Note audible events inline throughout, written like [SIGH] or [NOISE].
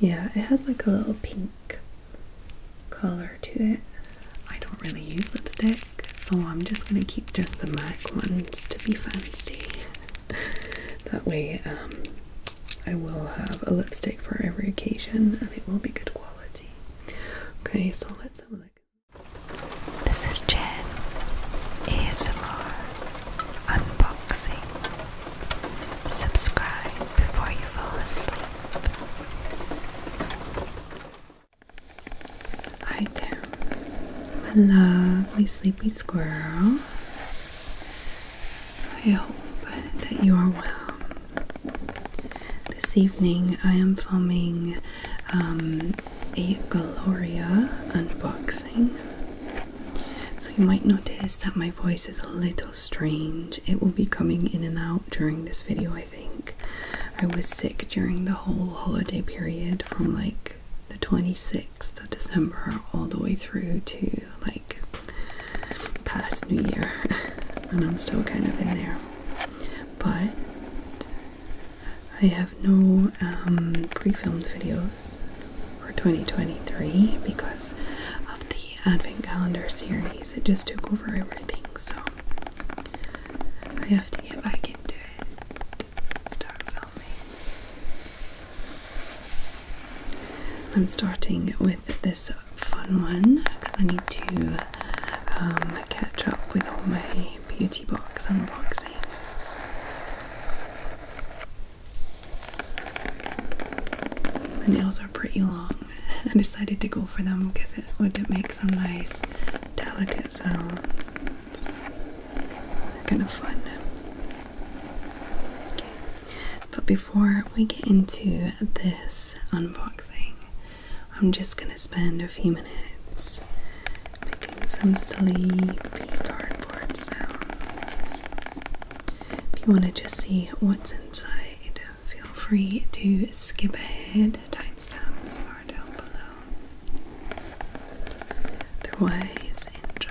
Yeah, it has like a little pink color to it. I don't really use lipstick, so I'm just going to keep just the MAC ones to be fancy. [LAUGHS] that way, um, I will have a lipstick for every occasion and it will be good quality. Okay, so let's have a look. This is Jen ASMR Unboxing. Subscribe before you fall asleep. Hi there, my lovely sleepy squirrel. I hope that you are well. This evening I am filming um, a Gloria unboxing. So you might notice that my voice is a little strange. It will be coming in and out during this video, I think. I was sick during the whole holiday period from like the 26th of December all the way through to like past New Year, [LAUGHS] and I'm still kind of in there. But I have no um, pre filmed videos for 2023 because of the Advent calendar series, it just took over everything, so I have to get back into it start filming. I'm starting with this fun one because I need to um, catch up with all my beauty box unboxings. The nails are pretty long. [LAUGHS] I decided to go for them because it would make some nice delicate sounds. They're kind of fun. Okay. But before we get into this unboxing, I'm just gonna spend a few minutes making some sleepy cardboard sounds. If you want to just see what's inside, feel free to skip ahead. Timestamps are down below. Otherwise, enjoy.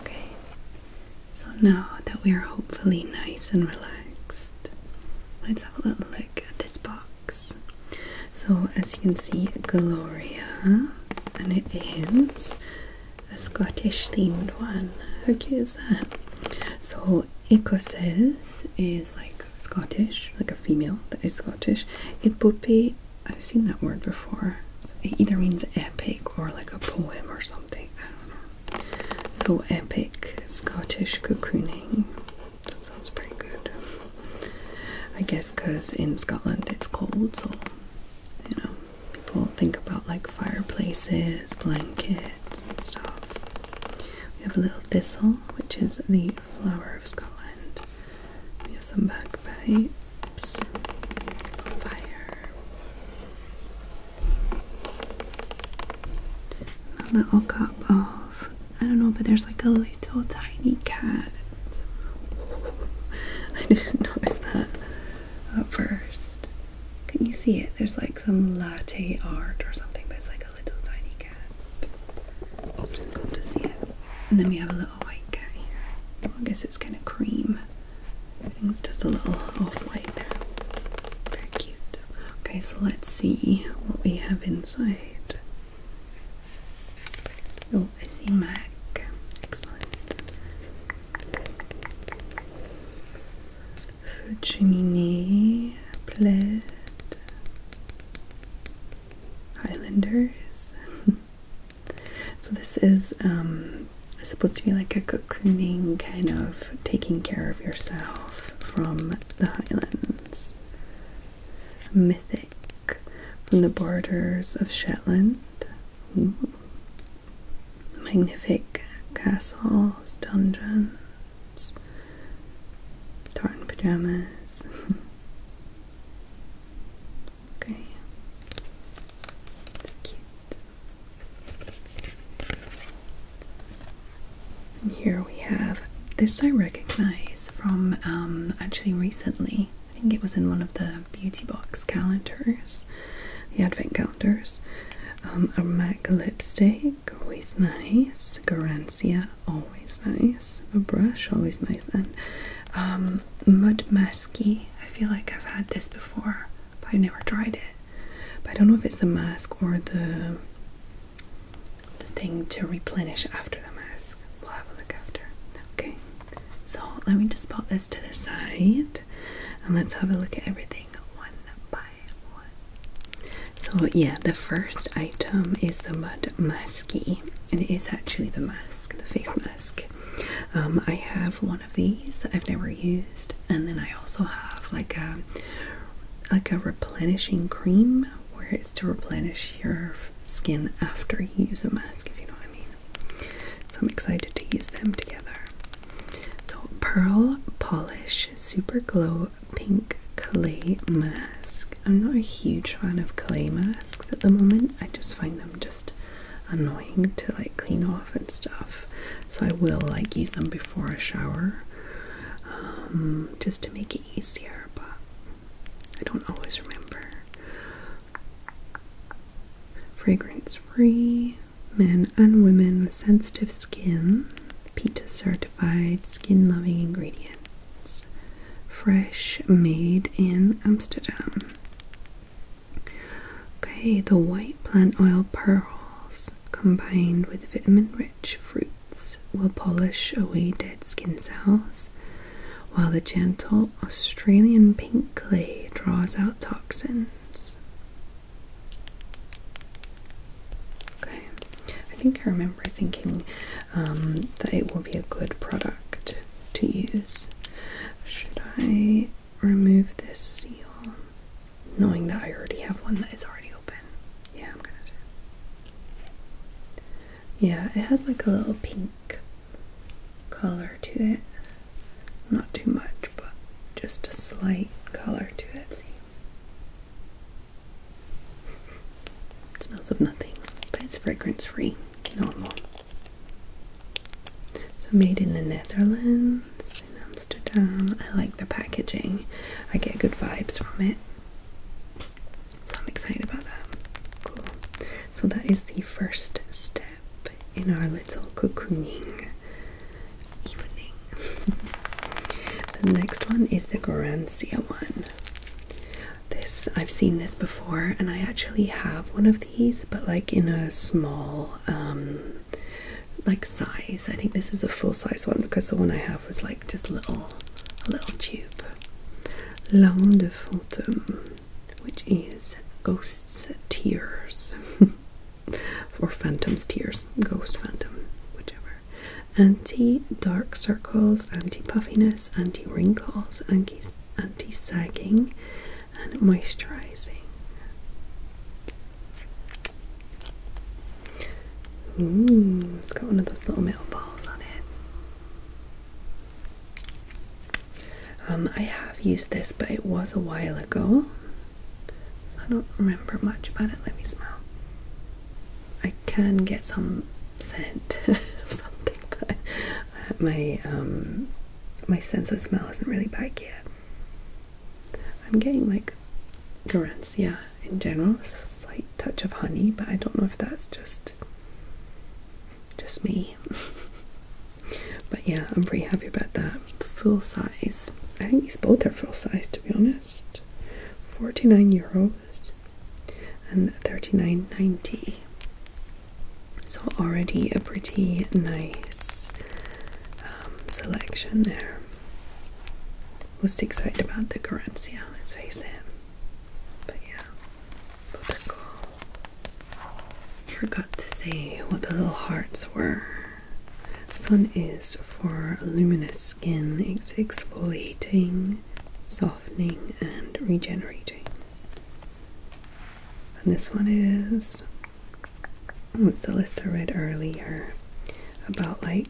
Okay, so now that we are hopefully nice and relaxed, let's have a little look at this box. So, as you can see, Gloria, and it is a Scottish themed one. How cute is that? So, Écossaise is like Scottish, like a female that is Scottish. Et poupée I've seen that word before. It either means epic or like a poem or something. I don't know. So epic Scottish cocooning. That sounds pretty good. I guess because in Scotland it's cold, so you know, people think about like fireplaces, blankets, and stuff. We have a little thistle, which is the flower of Scotland. We have some back pipes, fire, a little cup of I don't know, but there's like a little tiny cat. [LAUGHS] I didn't notice that at first. Can you see it? There's like some latte art or something, but it's like a little tiny cat. It's difficult to see it. And then we have a little little white guy here. I guess it's kind of cream. Everything's just a little off-white there. Very cute. Okay, so let's see what we have inside. Oh, I see Mac. Excellent. Food cheminée, Highlanders. [LAUGHS] So this is um, supposed to be like a cocooning kind of taking care of yourself from the Highlands. Mythic from the borders of Shetland. magnificent castles, dungeons, tartan pajamas. [LAUGHS] Okay. It's cute. And here we have this I recognize from um, actually recently. I think it was in one of the beauty box calendars, the advent calendars. Um, a MAC lipstick, always nice. Garancia, always nice. A brush, always nice. And um, mud masky. I feel like I've had this before, but I've never tried it. But I don't know if it's the mask or the the thing to replenish after the mask. We'll have a look after. Okay, so let me just pop this to the side and let's have a look at everything one by one. So yeah, the first item is the mud masky, and it is actually the mask, the face mask. Um, I have one of these that I've never used and then I also have like a like a replenishing cream where it's to replenish your skin after you use a mask if you know what I mean so I'm excited to use them together so pearl polish super glow pink clay mask I'm not a huge fan of clay masks at the moment I just find them just annoying to like clean off and stuff. So I will like use them before a shower um, just to make it easier, but I don't always remember. Fragrance free, men and women with sensitive skin, PETA certified, skin loving ingredients. Fresh, made in Amsterdam. Okay, the white plant oil pearls combined with vitamin rich fruits will polish away dead skin cells, while the gentle Australian pink clay draws out toxins. Okay, I think I remember thinking um, that it will be a good product to use. Should I remove this seal? Knowing that I already have one that is already open. Yeah, I'm gonna do Yeah, it has like a little pink color to it. Not too much, but just a slight color to it. It smells of nothing, but it's fragrance free. Normal. So made in the Netherlands, in Amsterdam. I like the packaging. I get good vibes from it. So I'm excited about that. Cool. So that is the first step in our little cocooning evening. [LAUGHS] the next one is the Garancia one. This I've seen this before, and I actually have one of these, but like in a small um, like size. I think this is a full size one because the one I have was like just little, a little tube. Langue de fantôme, which is ghosts' tears, [LAUGHS] or phantom's tears, ghost phantom, whichever. Anti dark circles, anti puffiness, anti wrinkles, anti anti-sagging and moisturizing. it's got one of those little metal balls on it. Um, I have used this, but it was a while ago. I don't remember much about it. Let me smell. I can get some scent [LAUGHS] of something, but my um my sense of smell isn't really back yet. I'm getting like Garancia in general, slight touch of honey, but I don't know if that's just just me. [LAUGHS] but yeah, I'm pretty happy about that. Full size. I think these both are full size to be honest. 49 euros and 39.90. So, already a pretty nice um, selection there. Most excited about the Corencia, let's face it. But yeah, Forgot to say what the little hearts were. This one is for luminous skin, it's exfoliating, softening, and regenerating. And this one is what's oh, the list I read earlier about like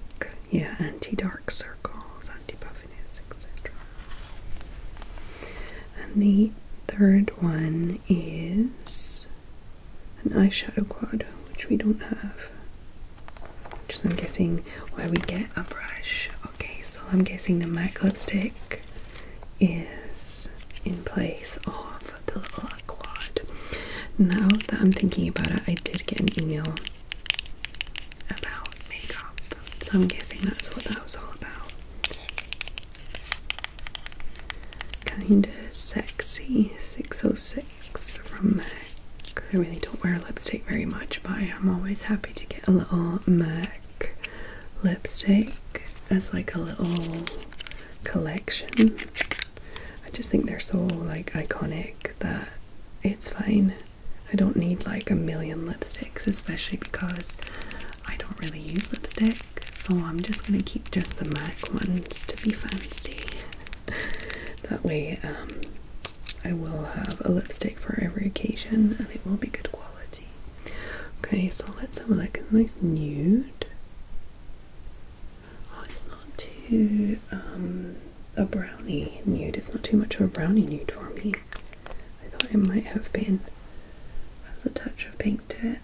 yeah anti-dark circles, anti buffiness etc. And the third one is an eyeshadow quad, which we don't have. Which I'm guessing where we get a brush. Okay, so I'm guessing the MAC lipstick is in place of the little quad. Now that I'm thinking about it, I did get an email about makeup, so I'm guessing that's what that was all about. Kinda sexy 606 from MAC. I really don't wear lipstick very much, but I'm always happy to get a little MAC lipstick as like a little collection. I just think they're so like iconic that it's fine. I don't need like a million lipsticks, especially because I don't really use lipstick, so I'm just gonna keep just the MAC ones to be fancy. [LAUGHS] that way, um, I will have a lipstick for every occasion and it will be good quality. Okay, so let's have a A nice nude. Oh, it's not too um, a brownie nude. It's not too much of a brownie nude for me. I thought it might have been. Has a touch of pink to it.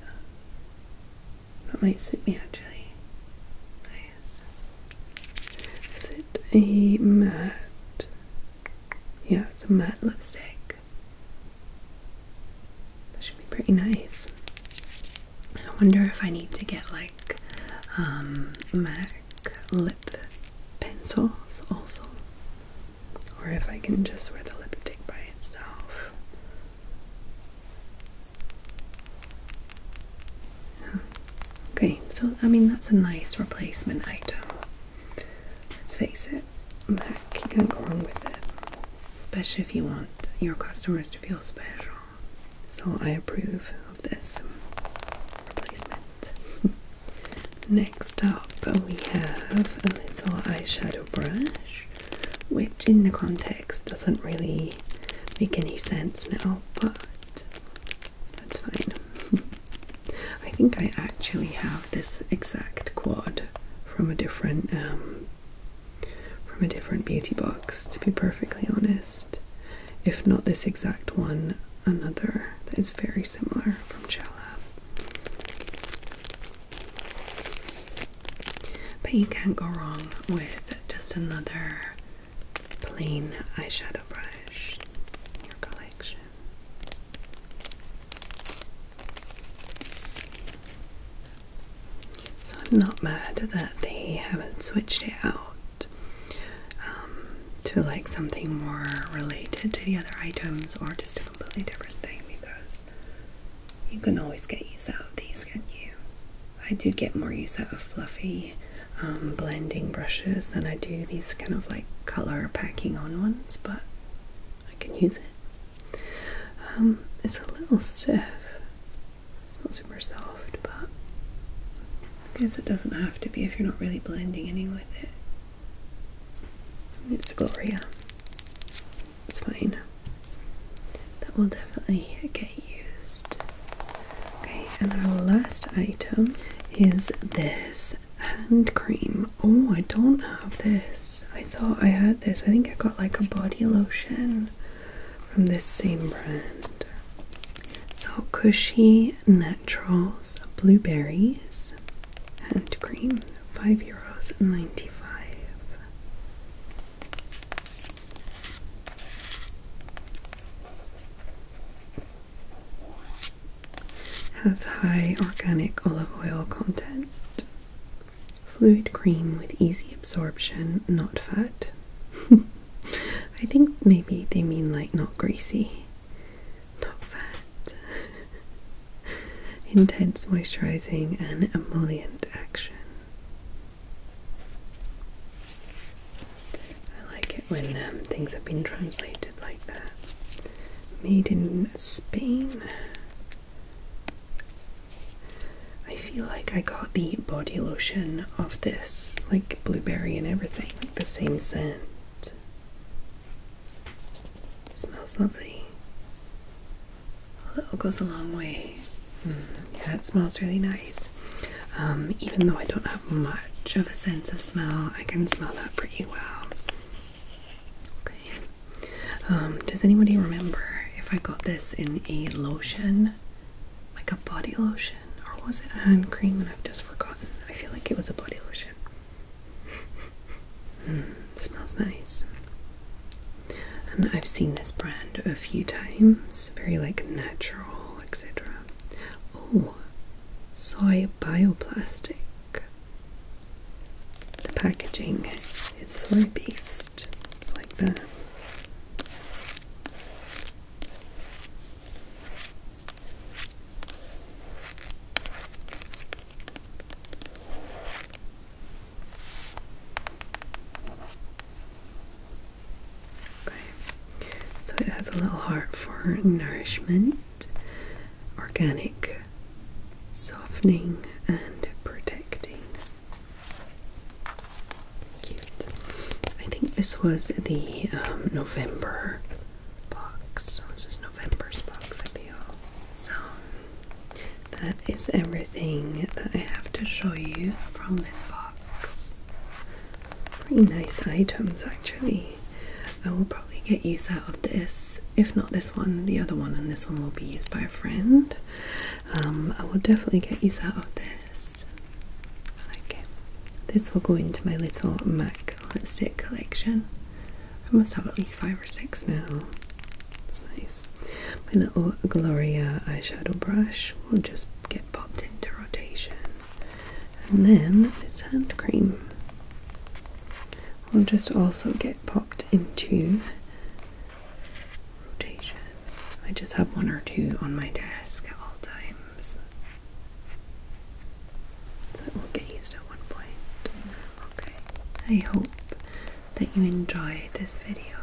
That might suit me actually. Nice. Is it a matte? Yeah, it's a matte lipstick. That should be pretty nice. I wonder if I need to get like um, MAC lip pencils also, or if I can just wear the lipstick by itself. Okay, so I mean, that's a nice replacement item. Let's face it, that can go wrong with it, especially if you want your customers to feel special. So I approve of this replacement. [LAUGHS] Next up, we have a little eyeshadow brush, which in the context doesn't really make any sense now, but that's fine. [LAUGHS] I think I actually have this exact quad from a different um, from a different beauty box. To be perfectly honest, if not this exact one, another that is very similar from Chella. But you can't go wrong with just another plain eyeshadow brush in your collection. So I'm not mad that they haven't switched it out um, to like something more related to the other items or just a completely different thing because you can always get use out of these, can't you? I do get more use out of fluffy um, blending brushes than I do these kind of like color packing on ones, but I can use it. Um, it's a little stiff. It's not super soft, but I guess it doesn't have to be if you're not really blending any with it. It's Gloria. It's fine. That will definitely get used. Okay, and our last item is this hand cream. Oh, I don't have this. I thought I had this. I think I got like a body lotion from this same brand. So Cushy Naturals Blueberries Hand Cream, five euros ninety five. Has high organic olive oil content. Fluid cream with easy absorption, not fat. [LAUGHS] I think maybe they mean like not greasy, not fat. [LAUGHS] Intense moisturizing and emollient action. I like it when um, things have been translated like that. Made in Spain. I feel like I got the body lotion of this, like blueberry and everything, the same scent. smells lovely. A little goes a long way. Hmm, yeah, it smells really nice. Um, even though I don't have much of a sense of smell, I can smell that pretty well. Okay. Um, does anybody remember if I got this in a lotion? Like a body lotion? Or was it a hand cream and I've just forgotten? I feel like it was a body lotion. Hmm, smells nice. I've seen this brand a few times. Very like natural, etc. Oh, soy bioplastic. The packaging is soy based, like that. Okay, so it has a little heart for nourishment organic, softening, and protecting. Cute. I think this was the um, November box. So this is November's box, I feel. So that is everything that I have to show you from this box. Pretty nice items, actually. I will probably get use out of this. If not this one, the other one, and this one will be used by a friend. Um, I will definitely get use out of this. I like it. This will go into my little MAC lipstick collection. I must have at least five or six now. It's nice. My little Gloria eyeshadow brush will just get popped into rotation. And then it's hand cream will just also get popped into rotation. I just have one or two on my desk at all times. That will get used at one point. Okay, I hope that you enjoyed this video,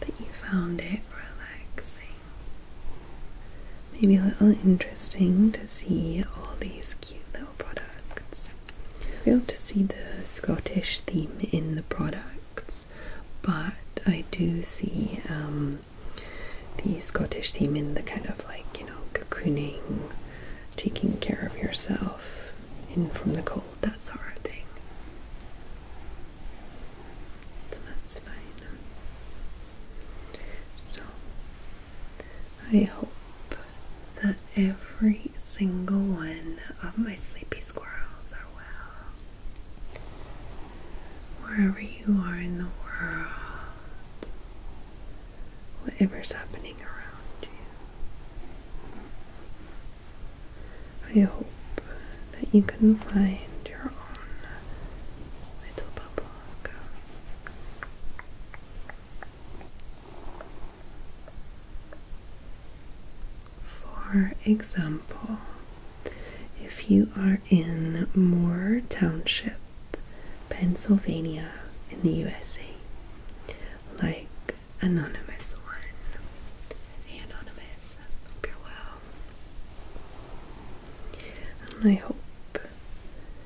that you found it relaxing, Maybe a little interesting to see all these cute little products. We'll to see the Scottish theme in the products, but I do see um, the Scottish theme in the kind of like you know cocooning, taking care of yourself, in from the cold, that sort of thing. that's fine. So I hope that every single one of my sleepy squirrels are well. Wherever you are in the world, whatever's happening around you, I hope that you can find your own little bubble. For example, if you are in Moore Township, Pennsylvania, in the USA, like Anonymous One. Hey, Anonymous, hope you're well. I hope